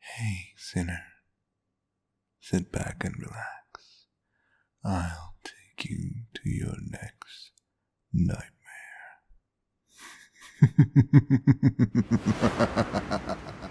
Hey, sinner, sit back and relax. I'll take you to your next nightmare.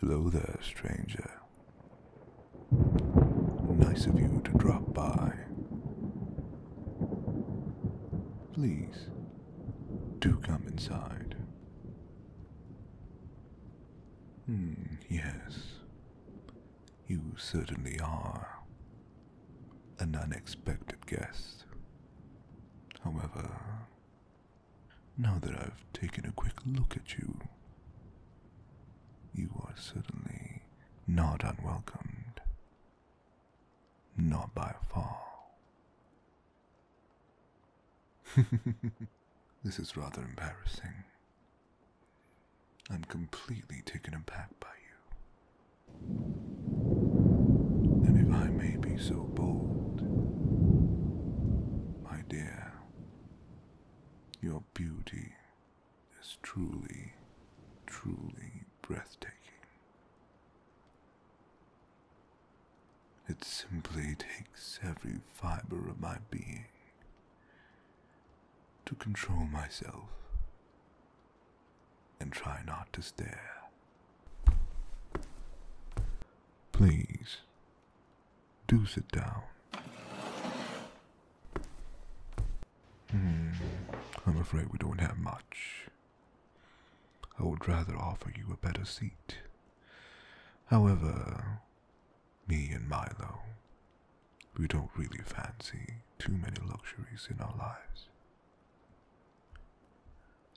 Hello there, stranger. Nice of you to drop by. Please, do come inside. Hmm, yes. You certainly are an unexpected guest. However, now that I've taken a quick look at you, you are certainly not unwelcomed. Not by far. this is rather embarrassing. I'm completely taken aback by you. And if I may be so bold, my dear, your beauty is truly, truly breathtaking. It simply takes every fiber of my being to control myself and try not to stare. Please do sit down. Hmm, I'm afraid we don't have much. I would rather offer you a better seat. However, me and Milo, we don't really fancy too many luxuries in our lives.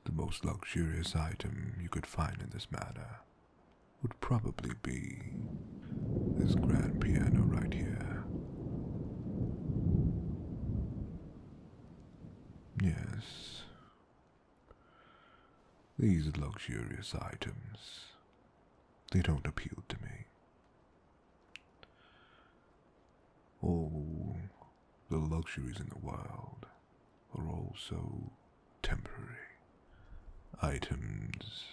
The most luxurious item you could find in this matter would probably be this grand piano right here. Yes, these luxurious items, they don't appeal to me. All the luxuries in the world are all so temporary items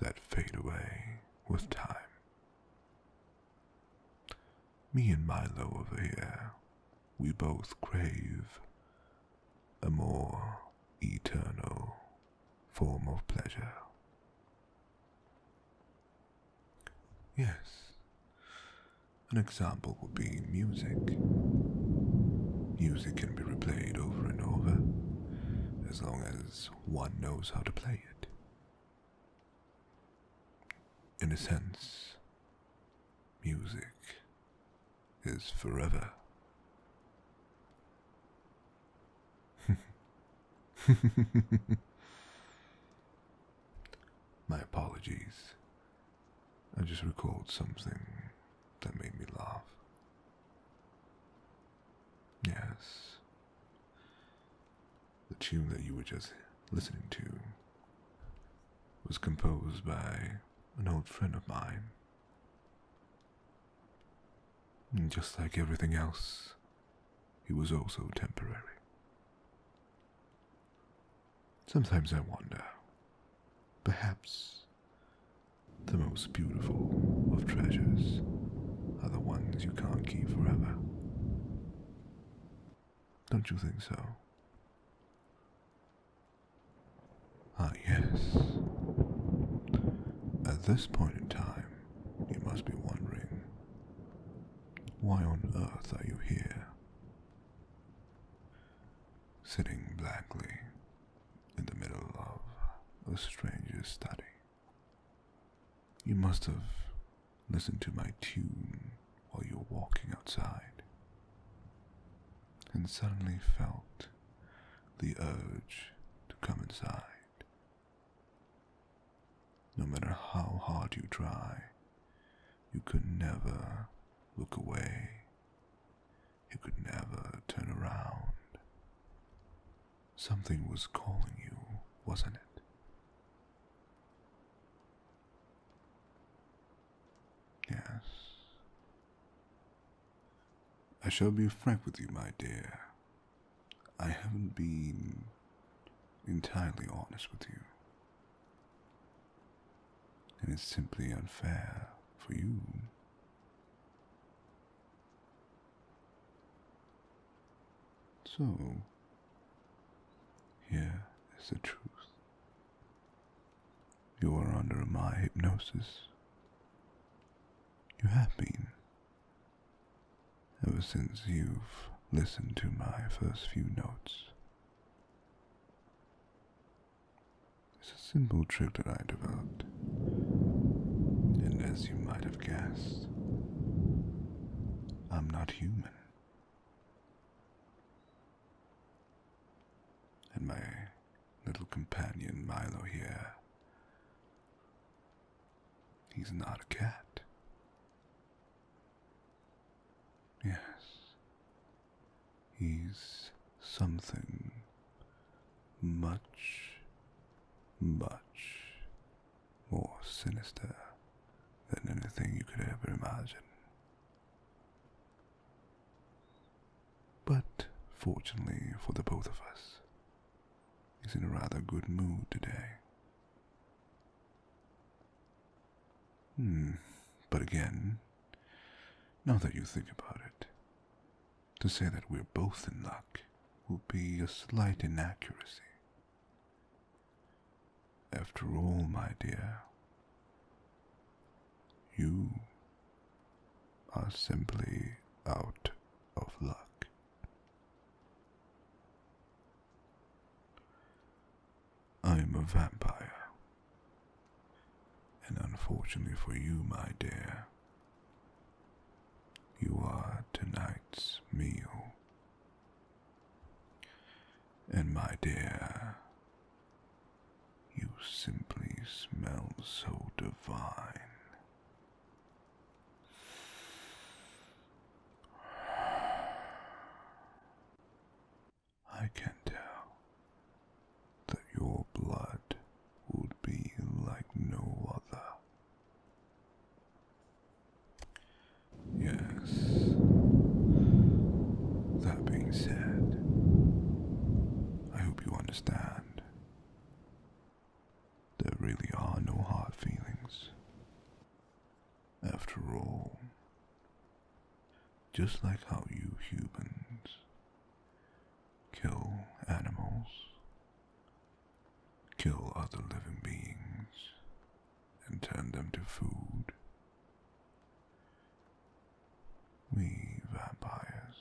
that fade away with time. Me and Milo over here, we both crave a more eternal form of pleasure. Yes, an example would be music. Music can be replayed over and over as long as one knows how to play it. In a sense, music is forever. My apologies. I just recalled something that made me laugh. Yes. The tune that you were just listening to was composed by an old friend of mine. And just like everything else, it was also temporary. Sometimes I wonder, perhaps the most beautiful of treasures are the ones you can't keep forever. Don't you think so? Ah, yes. At this point in time, you must be wondering why on earth are you here? Sitting blankly in the middle of a stranger's study. You must have listened to my tune while you were walking outside, and suddenly felt the urge to come inside. No matter how hard you try, you could never look away you could never turn around. Something was calling you, wasn't it? Yes. I shall be frank with you, my dear. I haven't been entirely honest with you. And it's simply unfair for you. So, here is the truth. You are under my hypnosis. You have been. Ever since you've listened to my first few notes. It's a simple trick that I developed. And as you might have guessed, I'm not human. And my little companion Milo here, he's not a cat. Yes, he's something much, much more sinister than anything you could ever imagine. But fortunately for the both of us, he's in a rather good mood today. Hmm, but again, now that you think about it, to say that we're both in luck would be a slight inaccuracy. After all, my dear, you are simply out of luck. I am a vampire. And unfortunately for you, my dear, you are tonight's meal. And my dear, you simply smell so divine. I can tell that your blood would be like no other. Yes. That being said, I hope you understand. There really are no hard feelings. After all, just like how you humans kill animals, kill other living beings, and turn them to food. We vampires.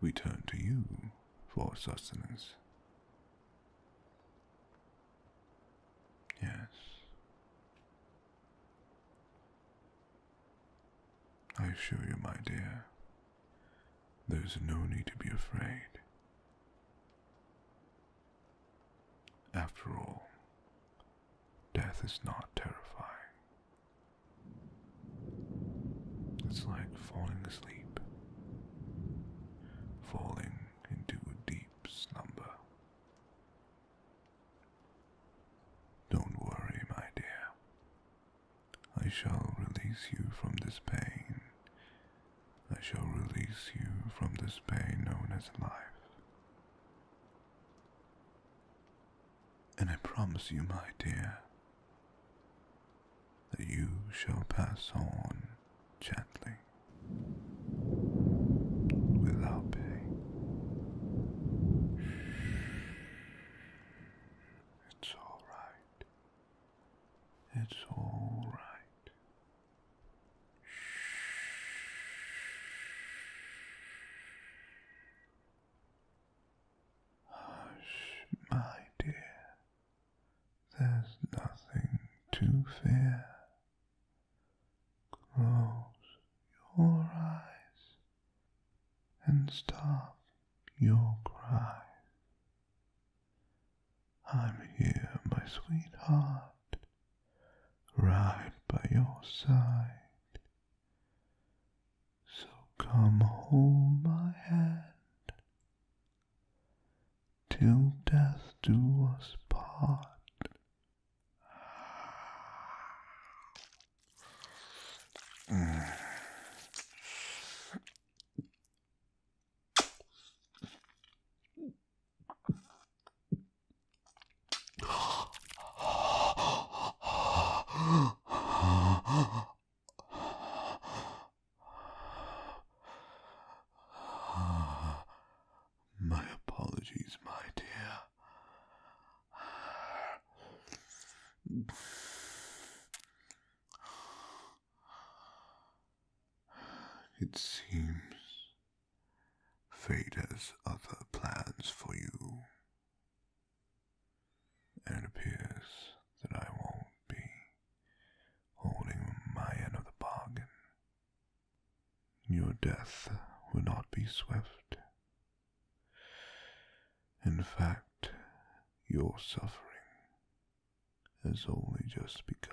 We turn to you for sustenance. Yes, I assure you, my dear, there's no need to be afraid. After all, death is not terrifying. It's like falling asleep, falling into a deep slumber. Don't worry, my dear. I shall release you from this pain. I shall release you from this pain known as life. And I promise you, my dear, that you shall pass on gently, without pain. It's all right. It's all right. Hush, my dear. There's nothing to fear. Close your eyes and stop your cry. I'm here, my sweetheart, right by your side. So come home, my hand till death do us part. Mm. My apologies, my dear. It seems fate has other plans for you, and it appears that I won't be holding my end of the bargain. Your death will not be swift, in fact, your suffering has only just begun.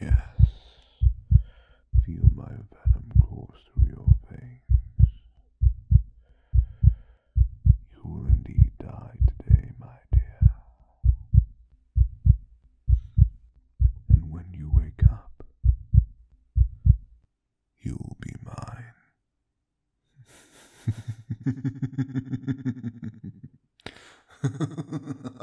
Yes, feel my venom course through your veins. You will indeed die today, my dear. And when you wake up, you'll be mine.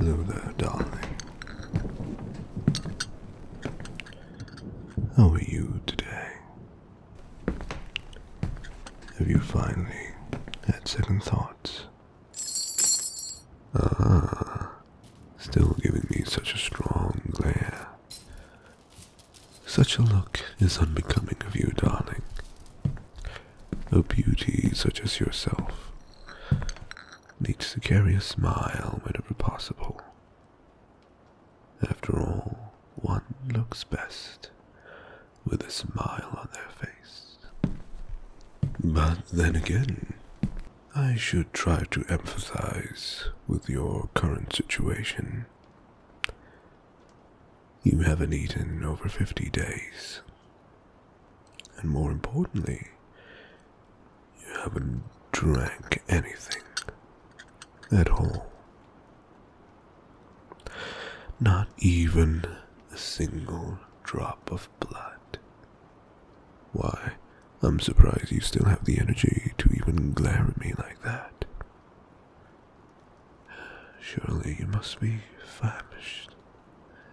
Hello there, darling. How are you today? Have you finally had second thoughts? Ah, still giving me such a strong glare. Such a look is unbecoming of you, darling. A beauty such as yourself needs to carry a smile whenever possible. After all, one looks best with a smile on their face. But then again, I should try to empathize with your current situation. You haven't eaten over 50 days, and more importantly, you haven't drank anything at all. Not even a single drop of blood. Why, I'm surprised you still have the energy to even glare at me like that. Surely you must be famished,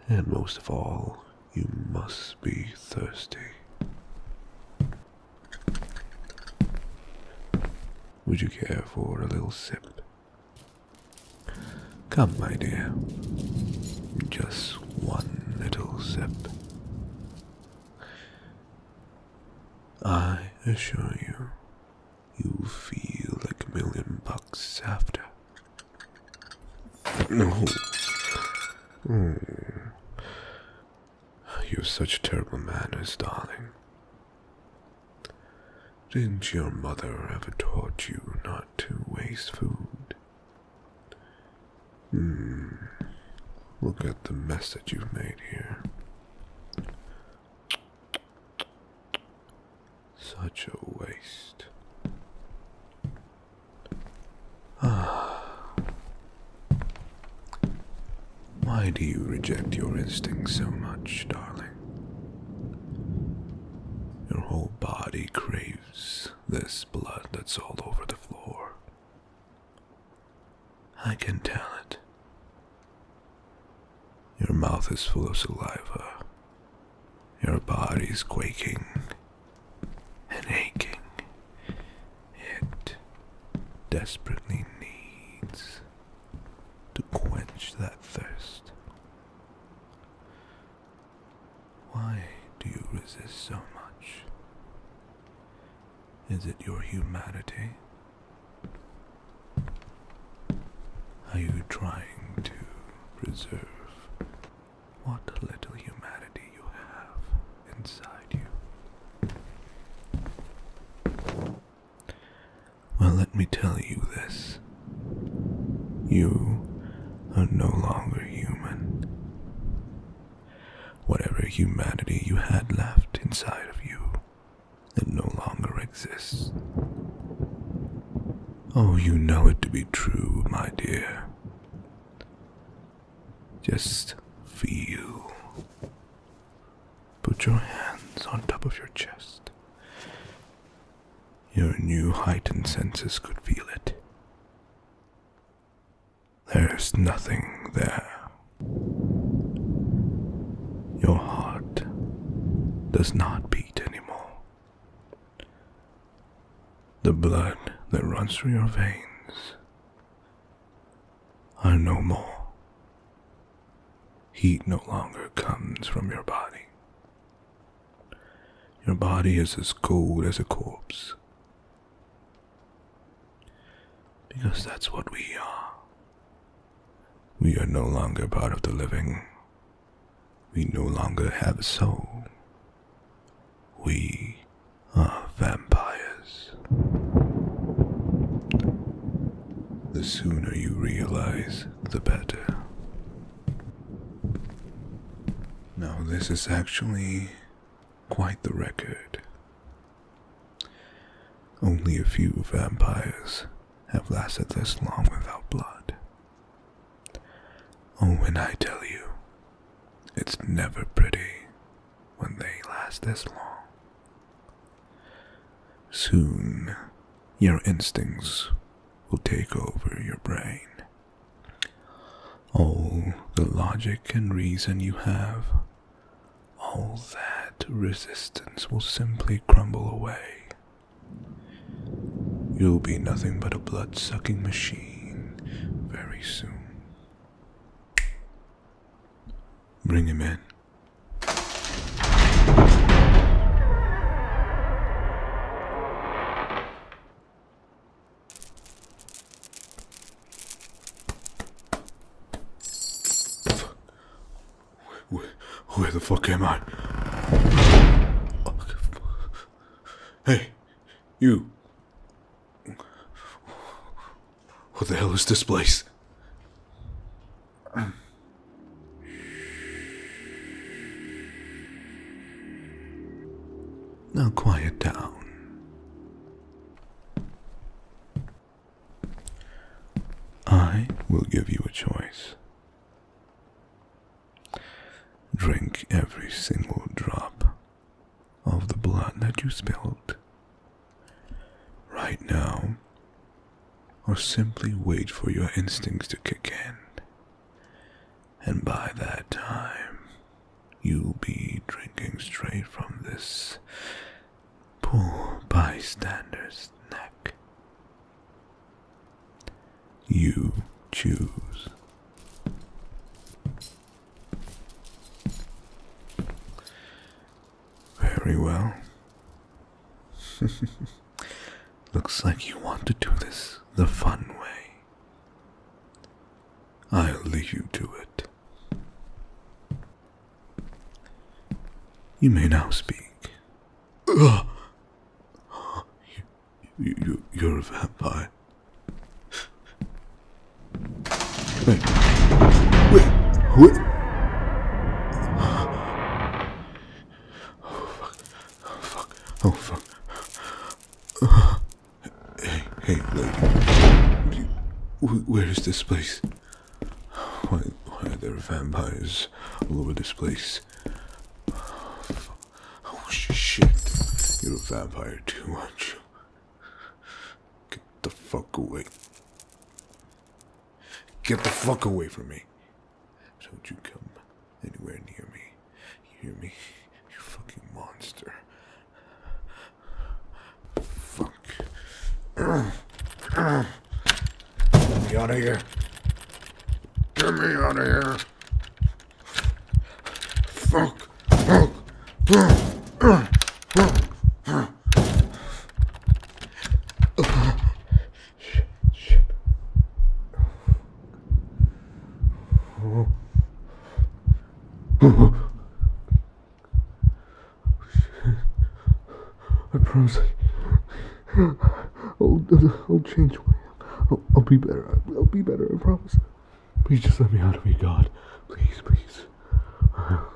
and most of all, you must be thirsty. Would you care for a little sip? Come, my dear. Just one little sip. I assure you, you will feel like a million bucks after. No. Hmm. You are such terrible manners, darling. Didn't your mother ever taught you not to waste food? Hmm. Look at the mess that you've made here. Such a waste. Ah. Why do you reject your instincts so much, darling? Your whole body craves this blood that's all over the floor. I can tell it. Your mouth is full of saliva. Your body's quaking and aching. It desperately needs to quench that thirst. Why do you resist so much? Is it your humanity? Are you trying to preserve what little humanity you have inside you. Well, let me tell you this. You are no longer human. Whatever humanity you had left inside of you, it no longer exists. Oh, you know it to be true, my dear. Just feel. Put your hands on top of your chest. Your new heightened senses could feel it. There's nothing there. Your heart does not beat anymore. The blood that runs through your veins are no more. Heat no longer comes from your body. Your body is as cold as a corpse. Because that's what we are. We are no longer part of the living. We no longer have a soul. We are vampires. The sooner you realize, the better. Now, this is actually quite the record. Only a few vampires have lasted this long without blood. Oh, when I tell you, it's never pretty when they last this long. Soon, your instincts will take over your brain. All the logic and reason you have, all that resistance will simply crumble away. You'll be nothing but a blood sucking machine very soon. Bring him in. where the fuck am I? Hey, you. What the hell is this place? Now quiet down. I will give you a choice. Drink every single drop of the blood that you spilled. Right now, or simply wait for your instincts to kick in. And by that time, you'll be drinking straight from this poor bystander's neck. You choose. Very well. Looks like you want to do this the fun way. I'll leave you to it. You may now speak. You, are a vampire. Wait. Wait. Wait. Oh fuck. Oh fuck. Oh fuck. hey, hey, Where is this place? Why, why are there vampires all over this place? Oh shit. You're a vampire too, aren't you? Get the fuck away. Get the fuck away from me. Don't you come anywhere near me. You hear me? You fucking monster. Fuck. Get me out of here. Get me out of here. Fuck. Fuck. I promise I'll, I'll change who I am. I'll, I'll be better. I'll, I'll be better, I promise. Please just let me out of here, God. Please, please.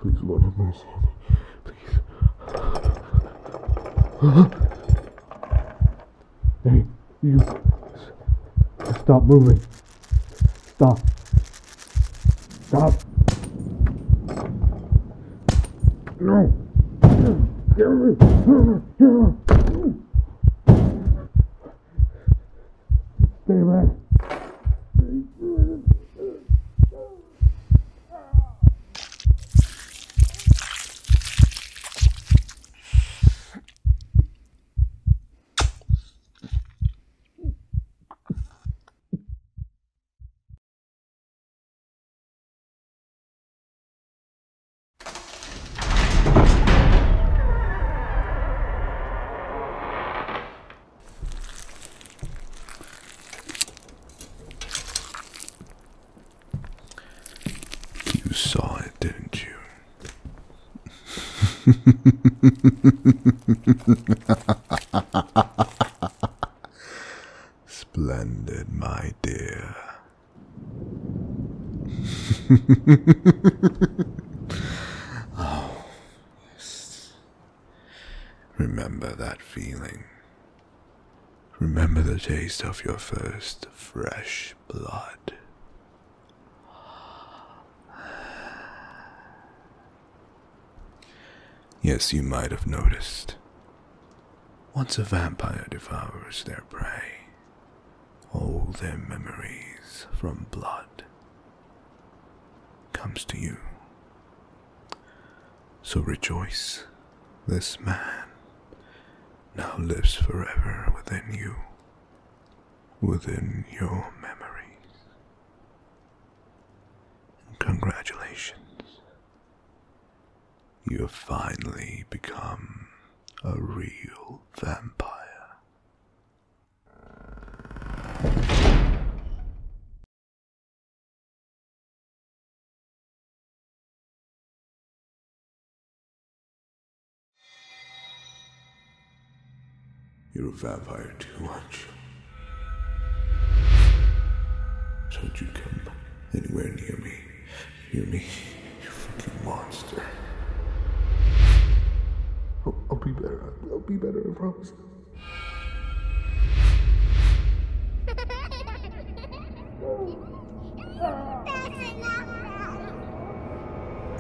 Please, Lord, have mercy on me. Please. Hey, you. Stop moving. Stop. Stop. No. Stay back. You saw it, didn't you? Splendid, my dear. oh, yes. Remember that feeling. Remember the taste of your first fresh blood. Yes, you might have noticed. Once a vampire devours their prey, all their memories from blood comes to you. So rejoice, this man now lives forever within you, within your memories. congratulations, you have finally become a real vampire. You're a vampire too much. Don't you come anywhere near me. Hear me? You fucking monster. I'll, I'll be better. I'll be better, I promise.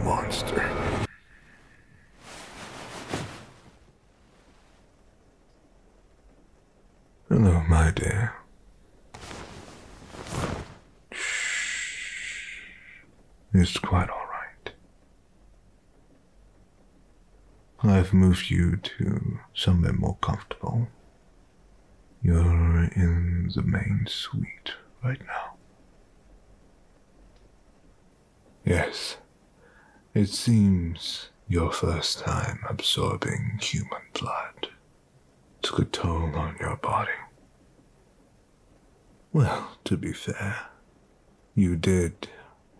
Monster. Hello, my dear. It's quite all right. I've moved you to somewhere more comfortable. You're in the main suite right now. Yes, it seems your first time absorbing human blood took a toll on your body. Well, to be fair, you did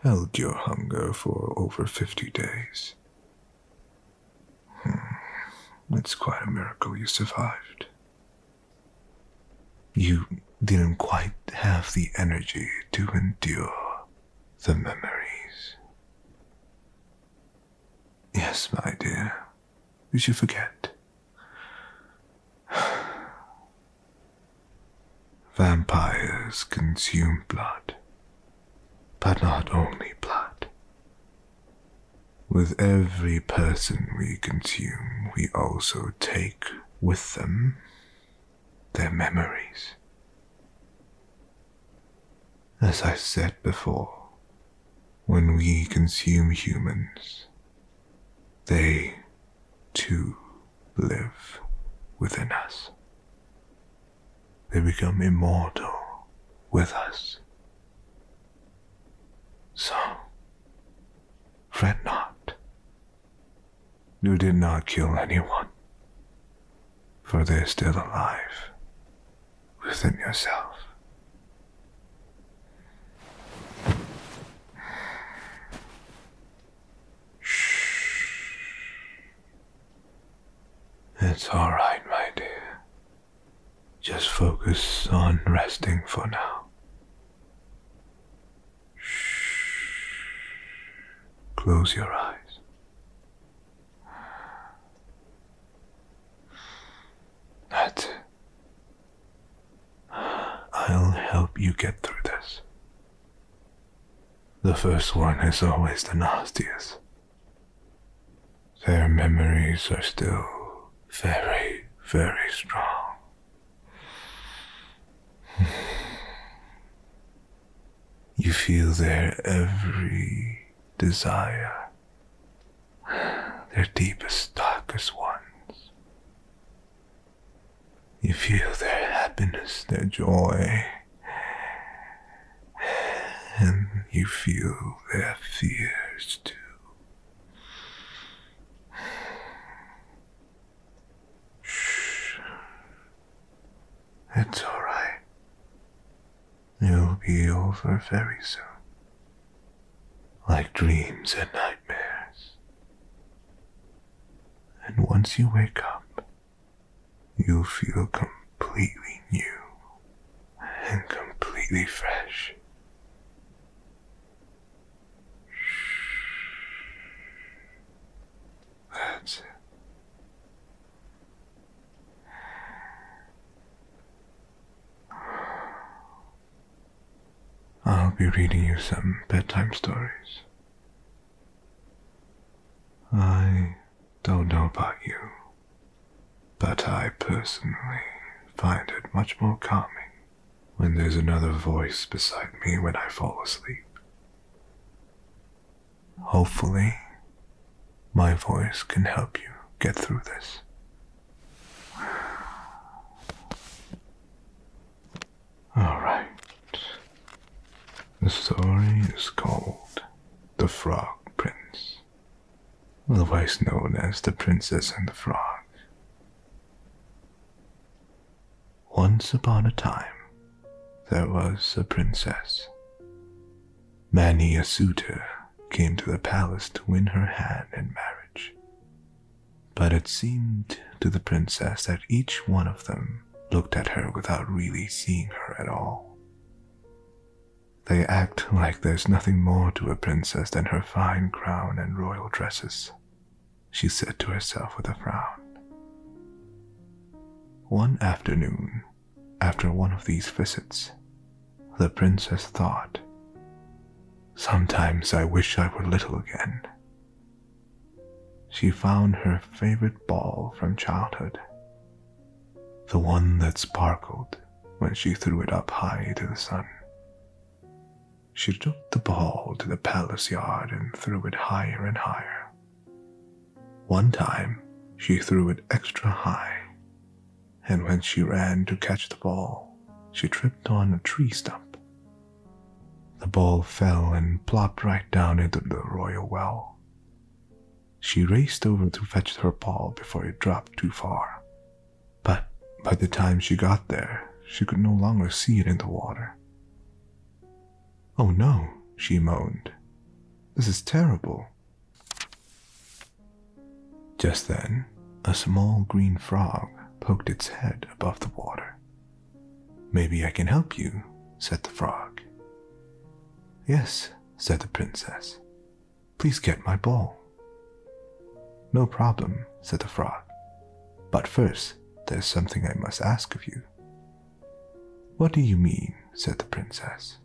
held your hunger for over 50 days. It's hmm, quite a miracle you survived. You didn't quite have the energy to endure the memories. Yes, my dear, did you forget Vampires consume blood, but not only blood. With every person we consume, we also take with them their memories. As I said before, when we consume humans, they too live within us. They become immortal with us. So, fret not. You did not kill anyone, for they're still alive within yourself. Shh. It's all right, my dear. Just focus on resting for now. Shh. Close your eyes. That's I'll help you get through this. The first one is always the nastiest. Their memories are still very, very strong. you feel their every desire, their deepest, darkest ones. You feel their happiness, their joy, and you feel their fears too. Shh. It's alright. You'll be over very soon like dreams and nightmares. And once you wake up, you feel completely new and completely fresh. That's it. I'll be reading you some bedtime stories. I don't know about you, but I personally find it much more calming when there's another voice beside me when I fall asleep. Hopefully, my voice can help you get through this. Alright. The story is called The Frog Prince, otherwise known as The Princess and the Frog. Once upon a time, there was a princess, many a suitor came to the palace to win her hand in marriage. But it seemed to the princess that each one of them looked at her without really seeing her at all. They act like there's nothing more to a princess than her fine crown and royal dresses, she said to herself with a frown. One afternoon, after one of these visits, the princess thought. Sometimes I wish I were little again. She found her favorite ball from childhood, the one that sparkled when she threw it up high to the sun. She took the ball to the palace yard and threw it higher and higher. One time, she threw it extra high, and when she ran to catch the ball, she tripped on a tree stump. The ball fell and plopped right down into the royal well. She raced over to fetch her ball before it dropped too far. But by the time she got there, she could no longer see it in the water. Oh no, she moaned. This is terrible. Just then, a small green frog poked its head above the water. Maybe I can help you, said the frog. Yes, said the princess. Please get my ball. No problem, said the frog. But first, there's something I must ask of you. What do you mean? said the princess.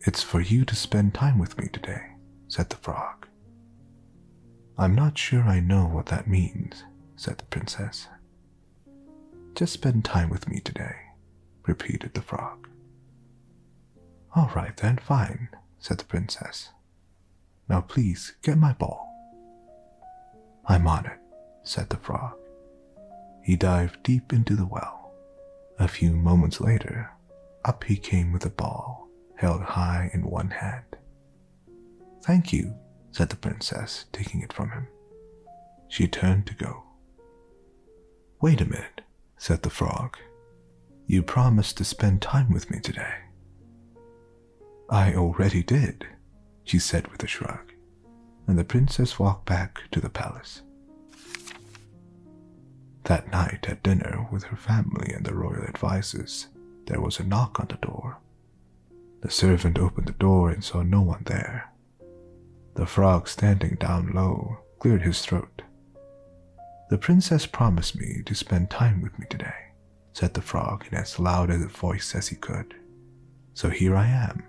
It's for you to spend time with me today, said the frog. I'm not sure I know what that means, said the princess. Just spend time with me today, repeated the frog. All right then, fine, said the princess. Now please get my ball. I'm on it, said the frog. He dived deep into the well. A few moments later, up he came with the ball, held high in one hand. Thank you, said the princess, taking it from him. She turned to go. Wait a minute, said the frog. You promised to spend time with me today. I already did, she said with a shrug, and the princess walked back to the palace. That night at dinner with her family and the royal advisers, there was a knock on the door. The servant opened the door and saw no one there. The frog standing down low cleared his throat. The princess promised me to spend time with me today, said the frog in as loud a voice as he could. So here I am.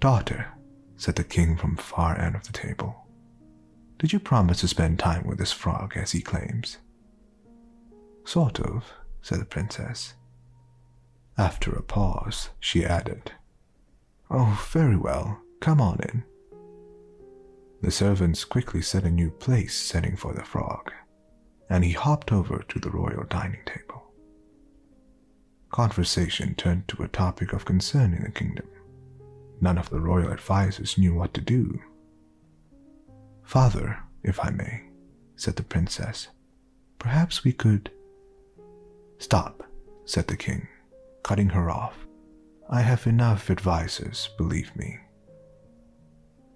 Daughter, said the king from far end of the table, did you promise to spend time with this frog as he claims? Sort of, said the princess. After a pause, she added, Oh, very well, come on in. The servants quickly set a new place setting for the frog, and he hopped over to the royal dining table. Conversation turned to a topic of concern in the kingdom None of the royal advisers knew what to do. Father, if I may, said the princess, perhaps we could. Stop, said the king, cutting her off. I have enough advisers, believe me.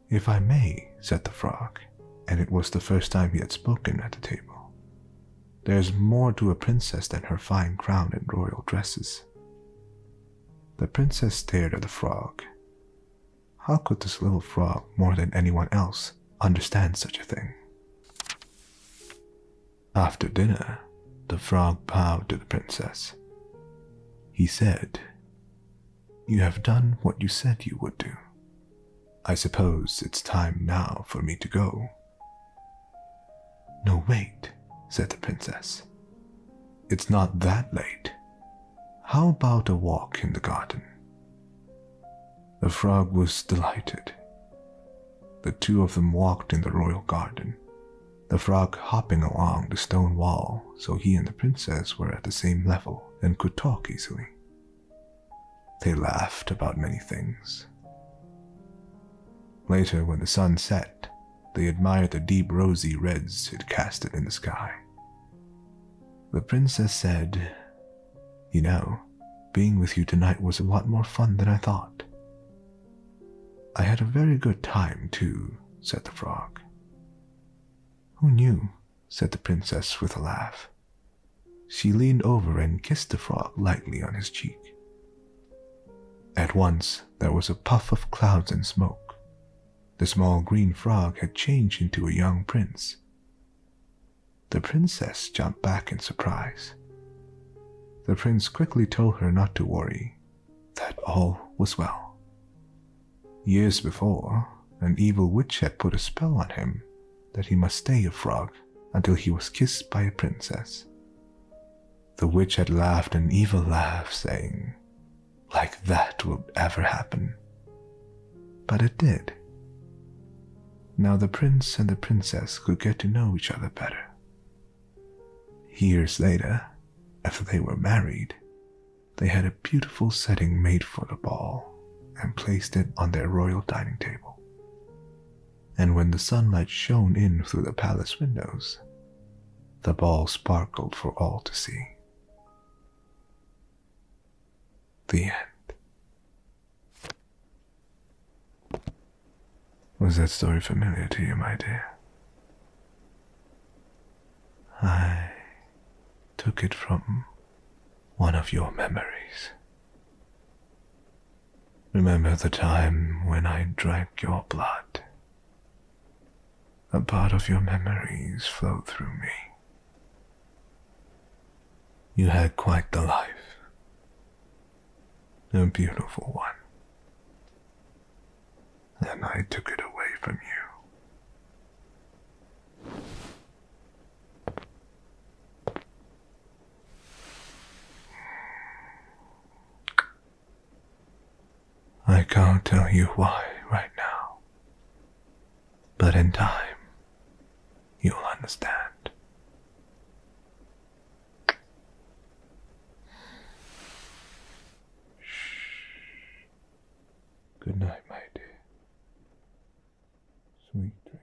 If I may, said the frog, and it was the first time he had spoken at the table. There's more to a princess than her fine crown and royal dresses. The princess stared at the frog. How could this little frog, more than anyone else, understand such a thing? After dinner, the frog bowed to the princess. He said, You have done what you said you would do. I suppose it's time now for me to go. No, wait, said the princess. It's not that late. How about a walk in the garden? The frog was delighted. The two of them walked in the royal garden, the frog hopping along the stone wall so he and the princess were at the same level and could talk easily. They laughed about many things. Later, when the sun set, they admired the deep rosy reds it casted in the sky. The princess said, You know, being with you tonight was a lot more fun than I thought. I had a very good time, too, said the frog. Who knew? said the princess with a laugh. She leaned over and kissed the frog lightly on his cheek. At once, there was a puff of clouds and smoke. The small green frog had changed into a young prince. The princess jumped back in surprise. The prince quickly told her not to worry, that all was well. Years before, an evil witch had put a spell on him that he must stay a frog until he was kissed by a princess. The witch had laughed an evil laugh, saying, Like that will ever happen. But it did. Now the prince and the princess could get to know each other better. Years later, after they were married, they had a beautiful setting made for the ball and placed it on their royal dining table. And when the sunlight shone in through the palace windows, the ball sparkled for all to see. The end. Was that story familiar to you, my dear? I took it from one of your memories. Remember the time when I drank your blood a part of your memories flowed through me. You had quite the life, a beautiful one, and I took it away from you. I can't tell you why right now, but in time, you'll understand. Good night, my dear. Sweet dreams.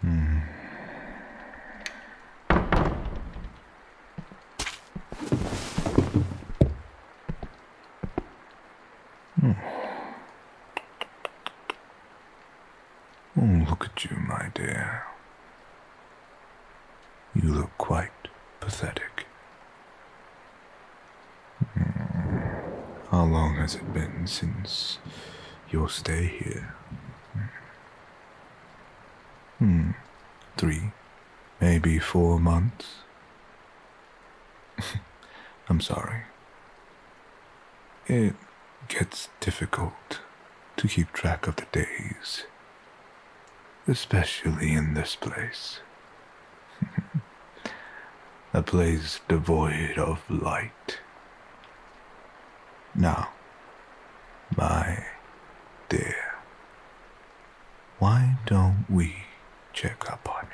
Hmm. Hmm. Oh, look at you, my dear. You look quite pathetic. How long has it been since your stay here? Hmm. three, maybe four months. I'm sorry. It gets difficult to keep track of the days, especially in this place. a place devoid of light. Now, my dear, why don't we check up on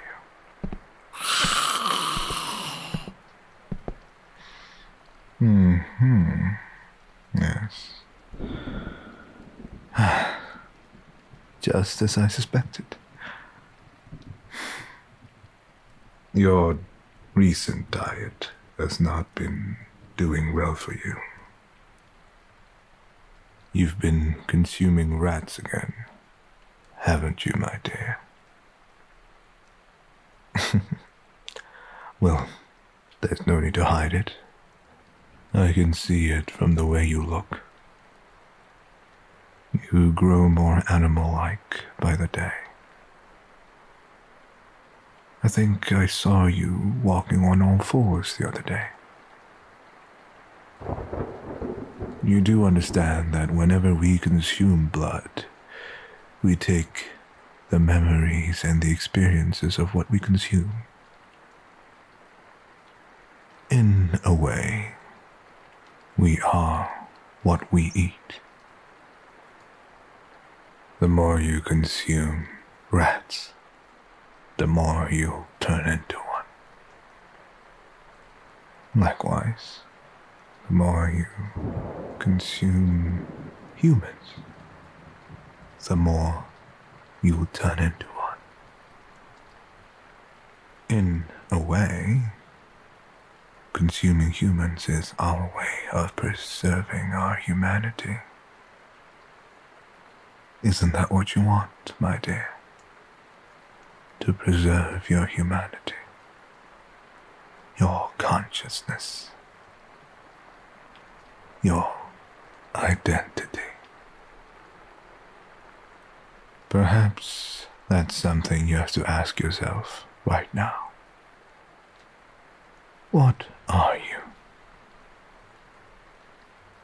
you? Hmm. hmm. Yes. Just as I suspected. Your recent diet has not been doing well for you. You've been consuming rats again, haven't you, my dear? well, there's no need to hide it. I can see it from the way you look. You grow more animal like by the day. I think I saw you walking on all fours the other day. You do understand that whenever we consume blood, we take the memories and the experiences of what we consume in a way, we are what we eat. The more you consume rats, the more you turn into one. Likewise, the more you consume humans, the more you will turn into one. In a way, consuming humans is our way of preserving our humanity. Isn't that what you want, my dear? To preserve your humanity, your consciousness, your identity. Perhaps that's something you have to ask yourself right now. What are you?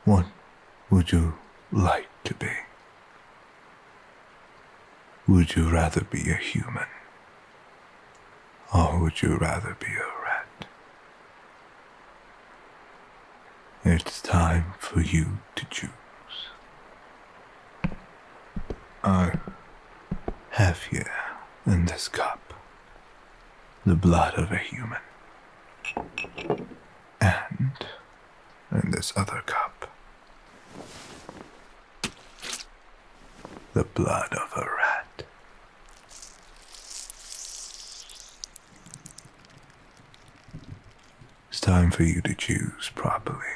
What would you like to be? Would you rather be a human? Or would you rather be a rat? It's time for you to choose. I have here in this cup the blood of a human. And in this other cup, the blood of a rat. It's time for you to choose properly.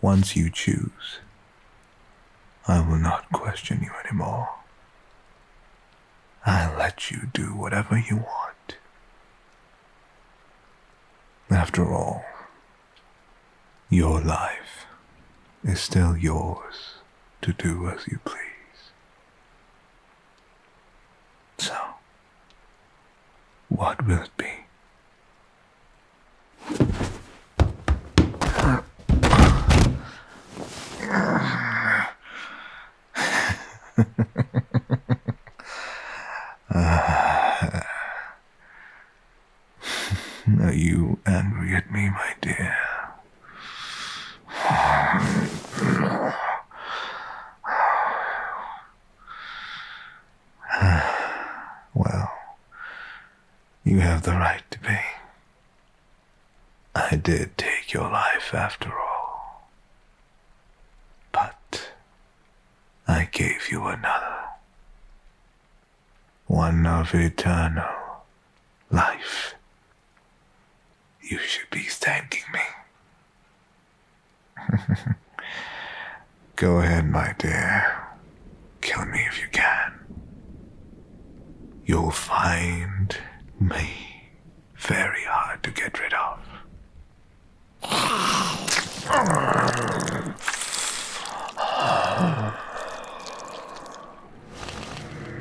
Once you choose, I will not question you anymore. I will let you do whatever you want. After all, your life is still yours to do as you please. So, what will it be? are you angry at me, my dear? well, you have the right to be. I did take your life after all. But I gave you another. One of eternal life you should be thanking me. Go ahead, my dear. Kill me if you can. You'll find me very hard to get rid of.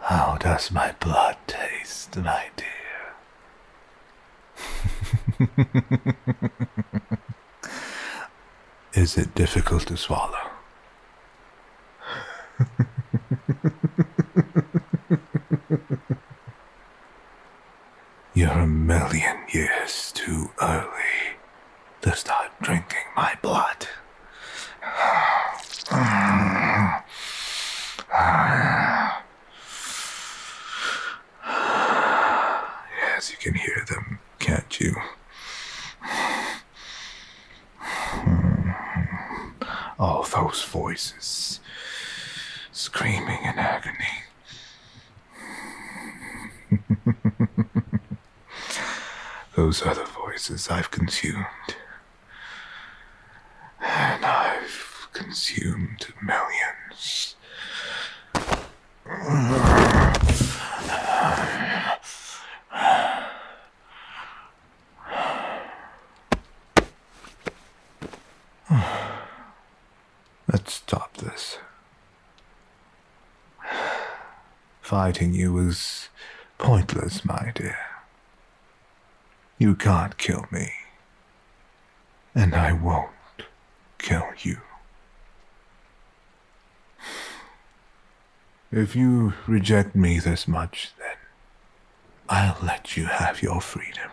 How does my blood taste, my dear? Is it difficult to swallow? You're a million years too early to start drinking my blood. Yes, you can hear them, can't you? All those voices screaming in agony. Those other voices I've consumed. And I've consumed millions. Let's stop this. Fighting you is pointless, my dear. You can't kill me. And I won't kill you. If you reject me this much, then I'll let you have your freedom.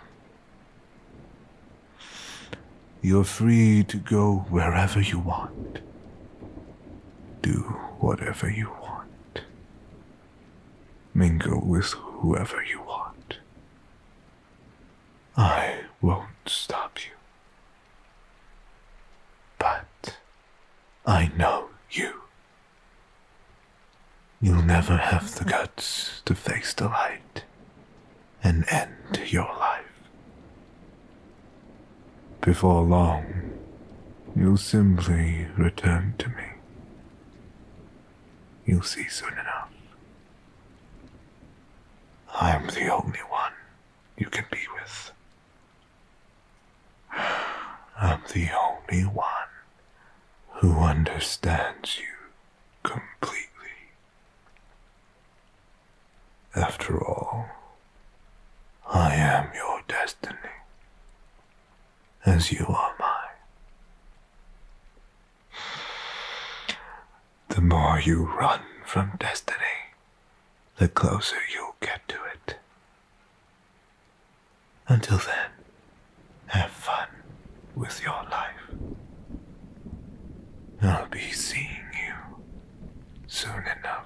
You're free to go wherever you want. Do whatever you want. Mingle with whoever you want. I won't stop you. But I know you. You'll never have the guts to face the light and end your life. Before long, you'll simply return to me. You'll see soon enough. I'm the only one you can be with. I'm the only one who understands you completely. After all, I am your destiny, as you are mine. The more you run from destiny, the closer you'll get to it. Until then, have fun with your life. I'll be seeing you soon enough.